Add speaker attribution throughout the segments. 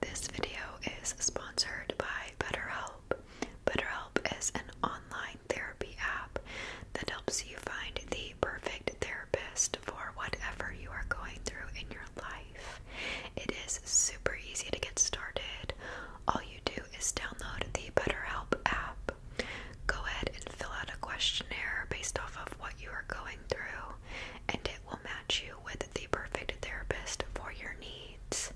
Speaker 1: This video is sponsored by BetterHelp. BetterHelp is an online therapy app that helps you find the perfect therapist for whatever you are going through in your life. It is super easy to get started. All you do is download the BetterHelp app. Go ahead and fill out a questionnaire based off of what you are going through, and it will match you with the perfect therapist for your needs.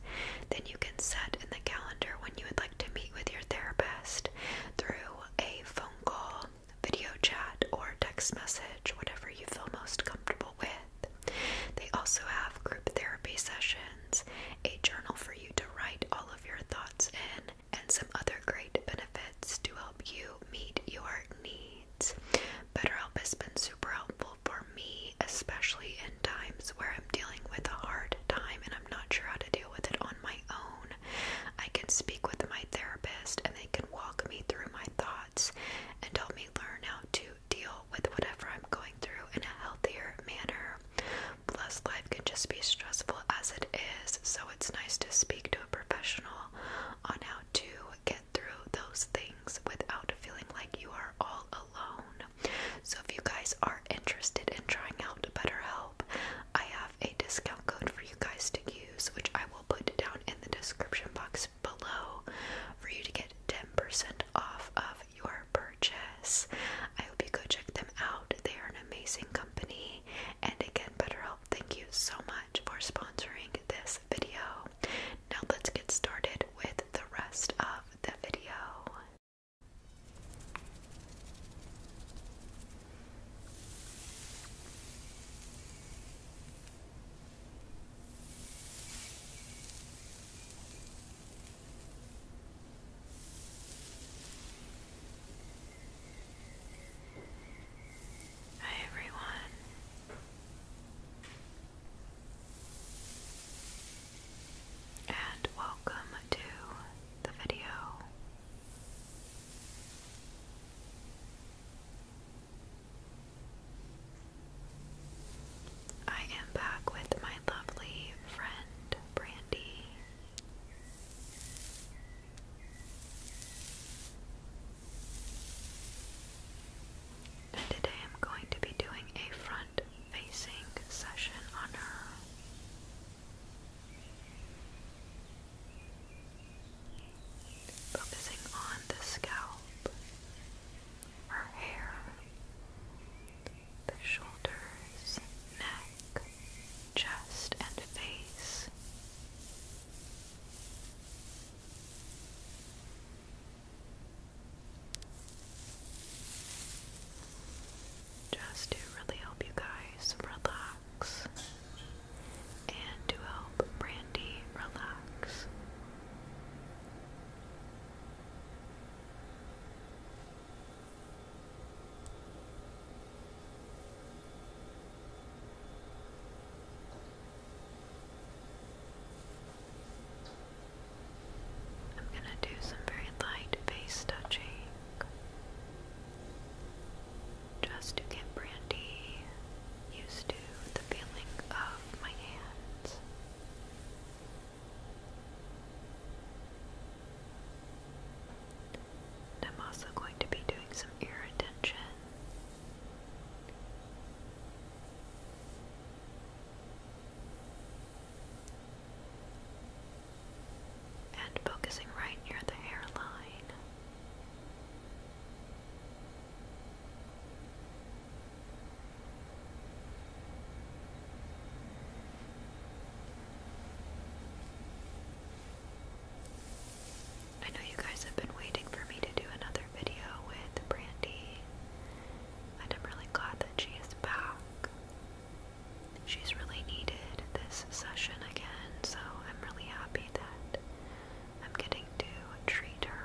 Speaker 1: Then you can set in the calendar when you would like to meet with your therapist through a phone call, video chat, or text message, whatever you feel most comfortable with. They also have group therapy sessions, a journal for you to write all of your thoughts in, and some other great benefits to help you meet your needs. BetterHelp has been super helpful for me, especially in times where I'm dealing with a hard time and I'm not sure how to deal with it on my own. I can speak with my therapist and they can walk me through my thoughts and help me learn how to deal with whatever I'm going through in a healthier manner. Plus, life can just be stressful as it is, so it's nice to speak to a professional on how to get through those things without feeling like you are all alone. So, if you guys are interested in trying out BetterHelp, I have a discount code for you guys to use, which I will put down in the description box below for you to get 10% off of your purchase. I hope you go check them out. They are an amazing company. And again, BetterHelp, thank you so much for sponsoring this video. Now let's get started with the rest of the video. Hi everyone. And welcome to the video. I am back with my lovely friend Brandy. And today I'm going to be doing a front facing session on her. Focusing on the scalp, her hair, the shoulders, neck, chest, and face. Just to really help you guys relax and to help Brandy relax. I'm going to do some very light face touching just to get Brandy used to the feeling of my hands. I'm also going to be doing some ear attention. And focusing right near the hairline. I know you guys have been waiting for me to do another video with Brandy, and I'm really glad that she is back. She's really needed this session again, so I'm really happy that I'm getting to treat her.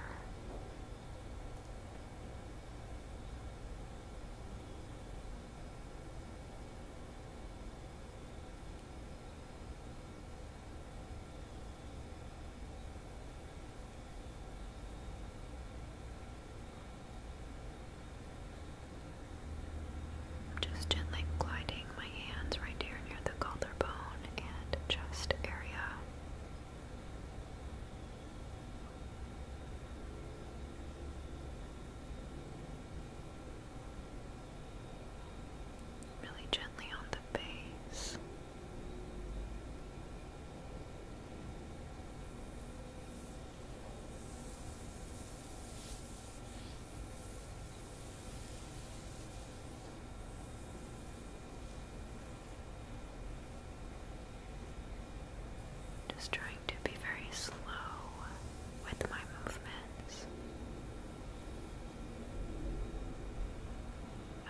Speaker 1: Just gently gliding my hands right here near the collarbone and chest area. Really gently on the the Just trying to be very slow with my movements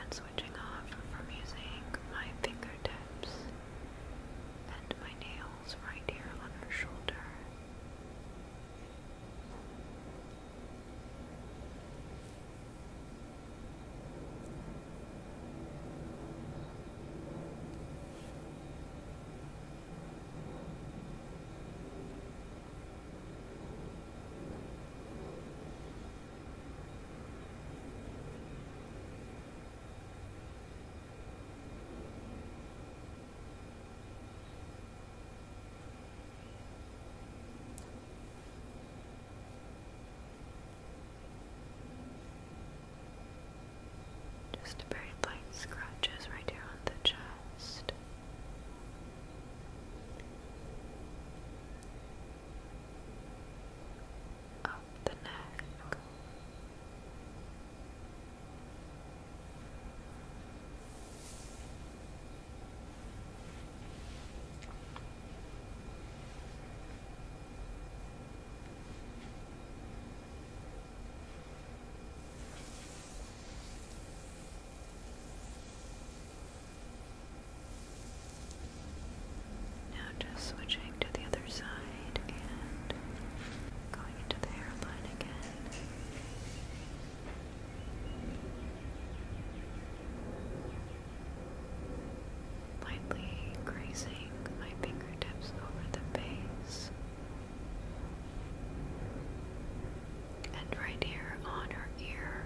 Speaker 1: and switching off from using my fingertips and my nails right here on her shoulder. Just very light scratches right here on the chest up the neck. Now just switching to the other side and going into the hairline again. Lightly grazing my fingertips over the base. And right here on her ear,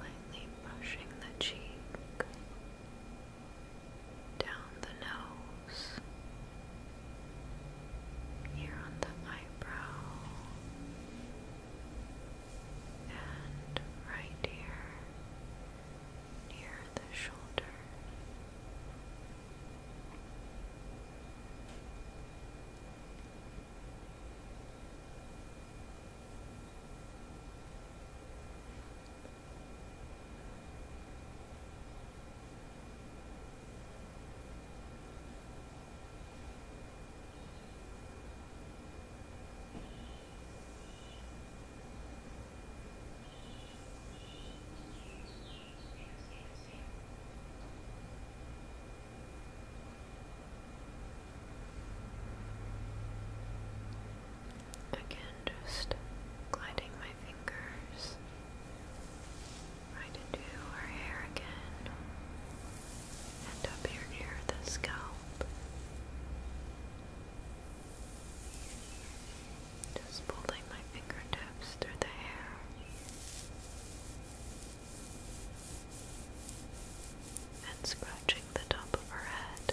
Speaker 1: Lightly brushing the cheek, down the nose nose, here on the eyebrow, and right here near the shoulder. Again, just gliding my fingers Try to do her hair again. And up here near the scalp. Just pulling my fingertips through the hair. And scratching the top of her head.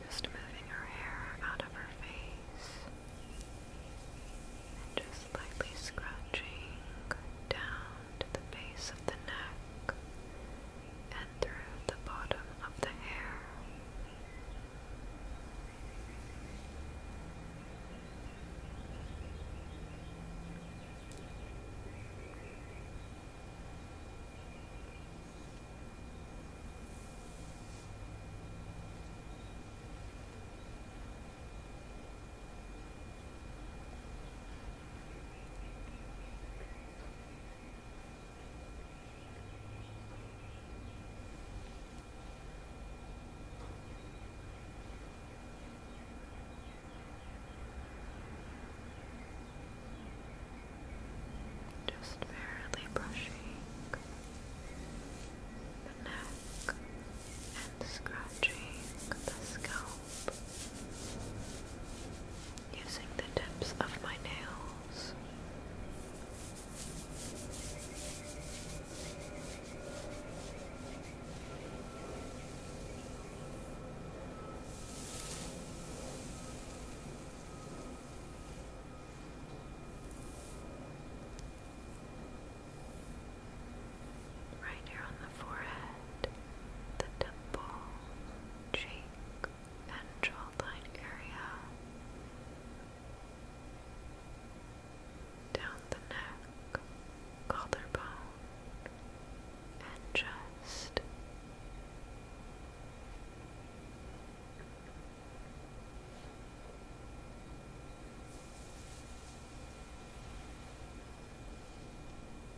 Speaker 1: Just moving her hair out of her face and just lightly scratching down to the base of the neck and through the bottom of the hair. Just barely brushing the neck and scratching the scalp using the tips of my nails. Right here on the forehead, the temple, cheek and jawline area, down the neck, collarbone, and chest.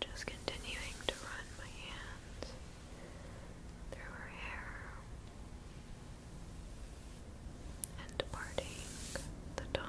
Speaker 1: Just continuing to run my hands through her hair and parting the top.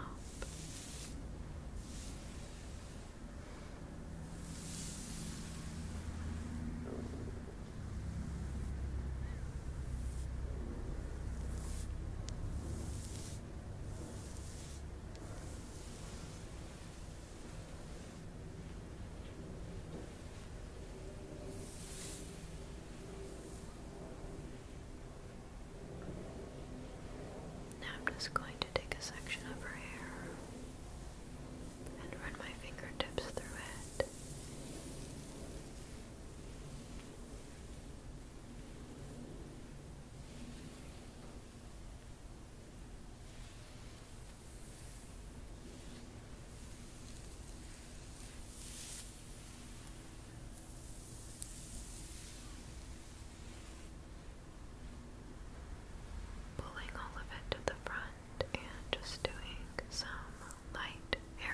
Speaker 1: Now I'm just going to take a section of her hair and run my fingertips through it. Pulling all of it to the front and just doing some light hair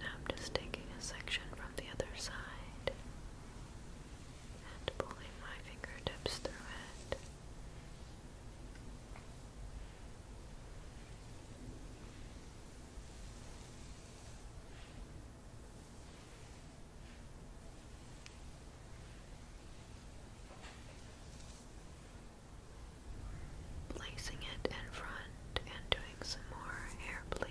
Speaker 1: Now I'm just taking a section from the other side and pulling my fingertips through it. Placing it in front and doing some more hair placing.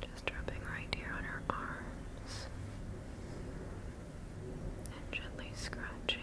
Speaker 1: Just rubbing right here on her arms and gently scratching.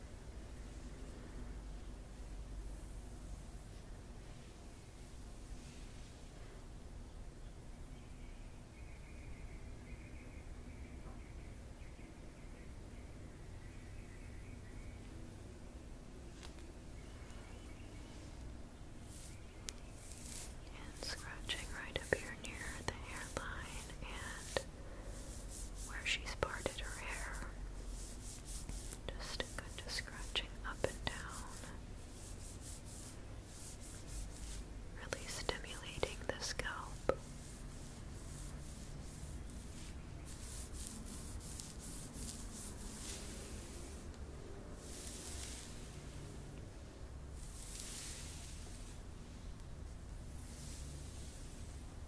Speaker 1: And scratching right up here near the hairline and where she's parted her hair. Just kind of scratching up and down. Really stimulating the scalp.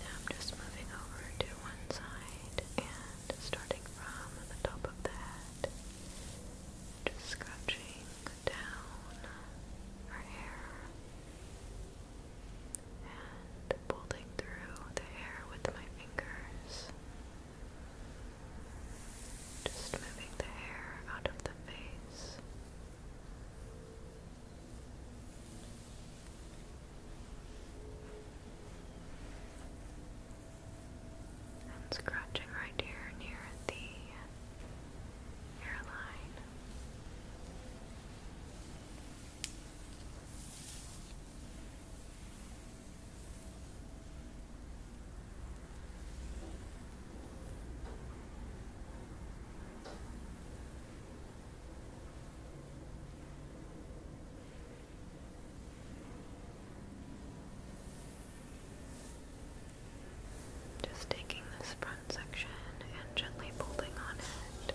Speaker 1: Now I'm just moving over to one side and starting from the top of the head, just scratching down her hair and pulling through the hair with my fingers. Just moving the hair out of the face. And scratching right here near the hairline. Just taking this front section and gently pulling on it.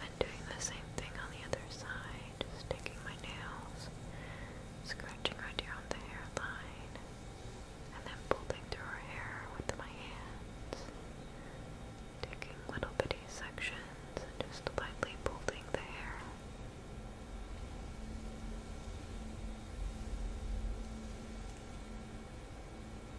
Speaker 1: And doing the same thing on the other side, just taking my nails, scratching right here on the hairline, and then pulling through her hair with my hands, taking little bitty sections and just lightly pulling the hair.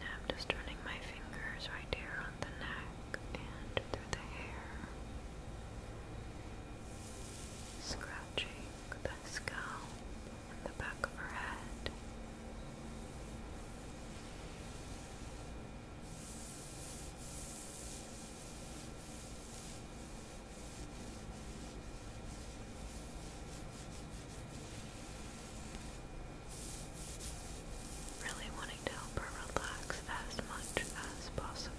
Speaker 1: Now I'm just running my fingers right here on the neck and through the hair, scratching the scalp and the back of her head. Really wanting to help her relax as much as possible.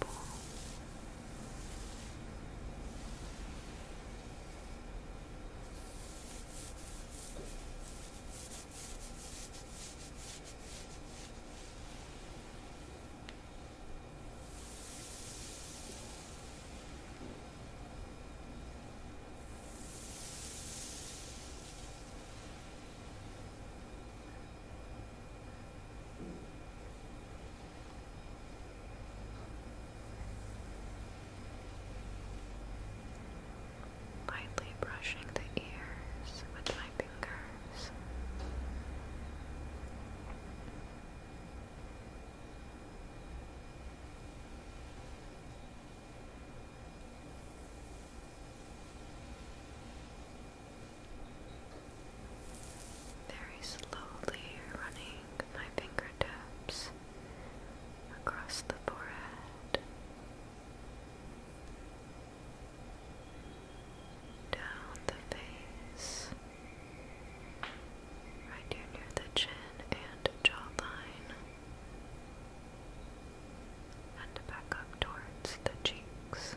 Speaker 1: Lightly brushing the ears with my fingers. Very slowly running my fingertips across the forehead, down the face right here near the chin and jawline, and back up towards the cheeks.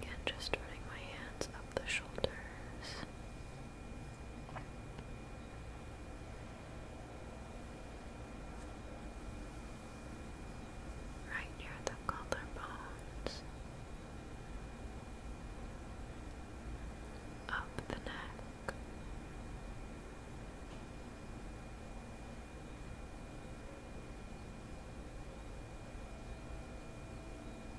Speaker 1: Again, just running my hands up the shoulders. Right near the collarbones, up the neck.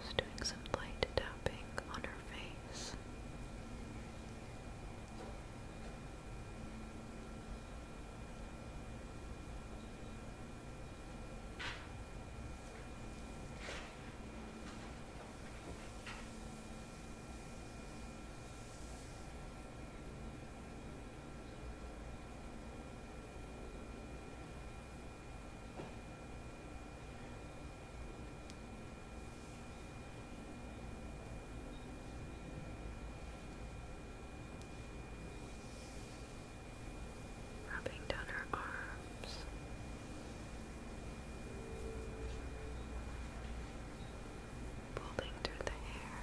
Speaker 1: Just doing some light tapping on her face. Rubbing down her arms. Pulling through the hair.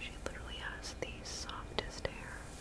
Speaker 1: She literally has the softest hair.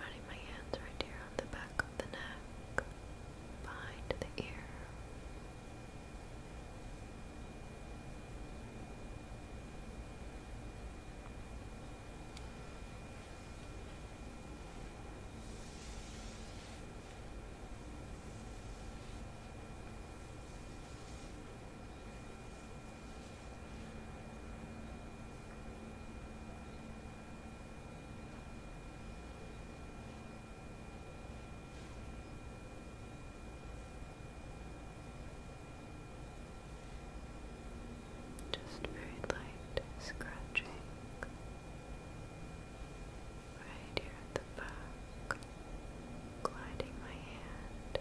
Speaker 1: running my hands right here on the back of the neck, behind the ear. Just very light scratching right here at the back, gliding my hand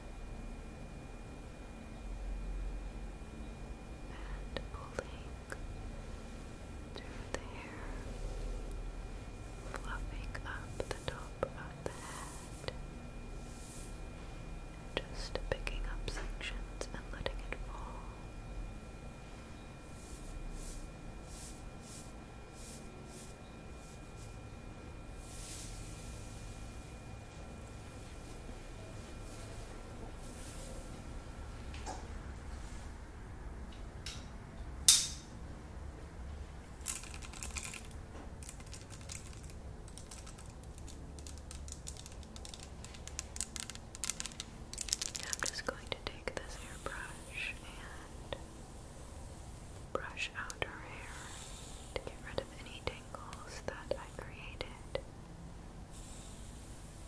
Speaker 1: and pulling through the hair, fluffing up the top of the head, just picking up sections and letting it fall. I'm just going to take this airbrush and brush out her hair to get rid of any tangles that I created.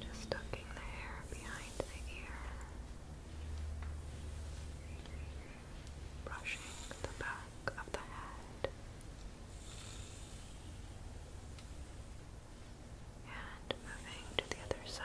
Speaker 1: Just tucking the hair behind the ear brushing the back of the head and moving to the other side.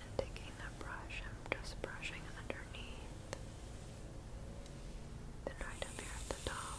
Speaker 1: And taking the brush, I'm just brushing underneath, then right up here at the top.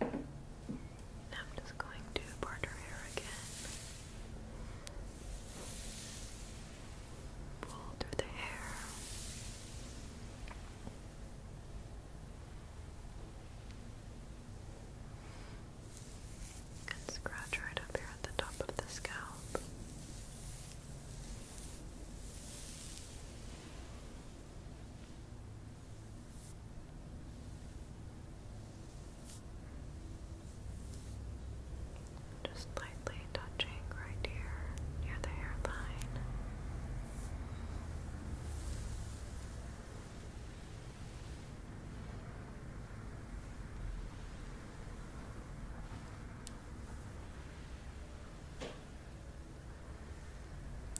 Speaker 1: Now I'm just going to part her hair again. Pull through the hair. And scratch right up here at the top of the scalp. Just lightly touching right here near the hairline.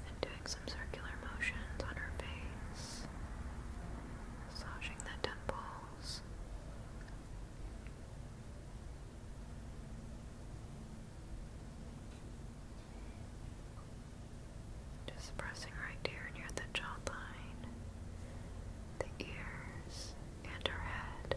Speaker 1: And doing some circular motions on her face, massaging the temples. Just pressing right here near the jawline, the ears, and her head.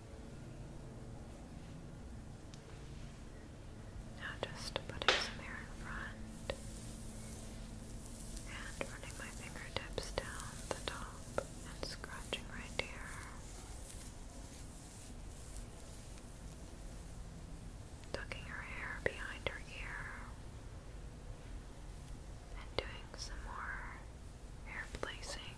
Speaker 1: Now just putting some hair in front and running my fingertips down the top and scratching right here. Tucking her hair behind her ear and doing some more hair placing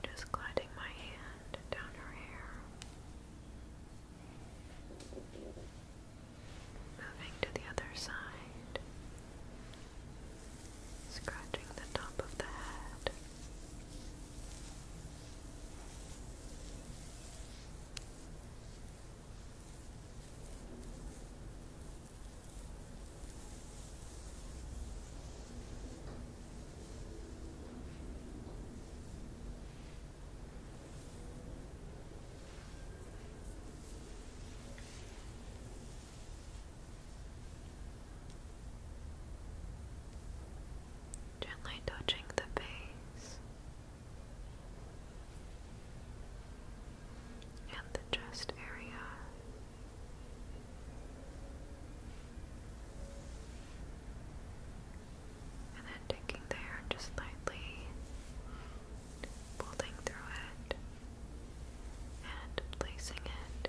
Speaker 1: And just gliding my hand down her hair. Moving to the other side, scratching the top of the head. Gently touching the base and the chest area and then taking the just lightly pulling through it and placing it.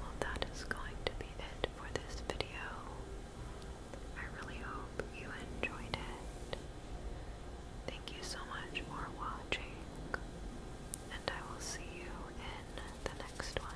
Speaker 1: Well, that is going to be it for this video. I really hope you enjoyed it. Thank you so much for watching, and I will see you in the next one.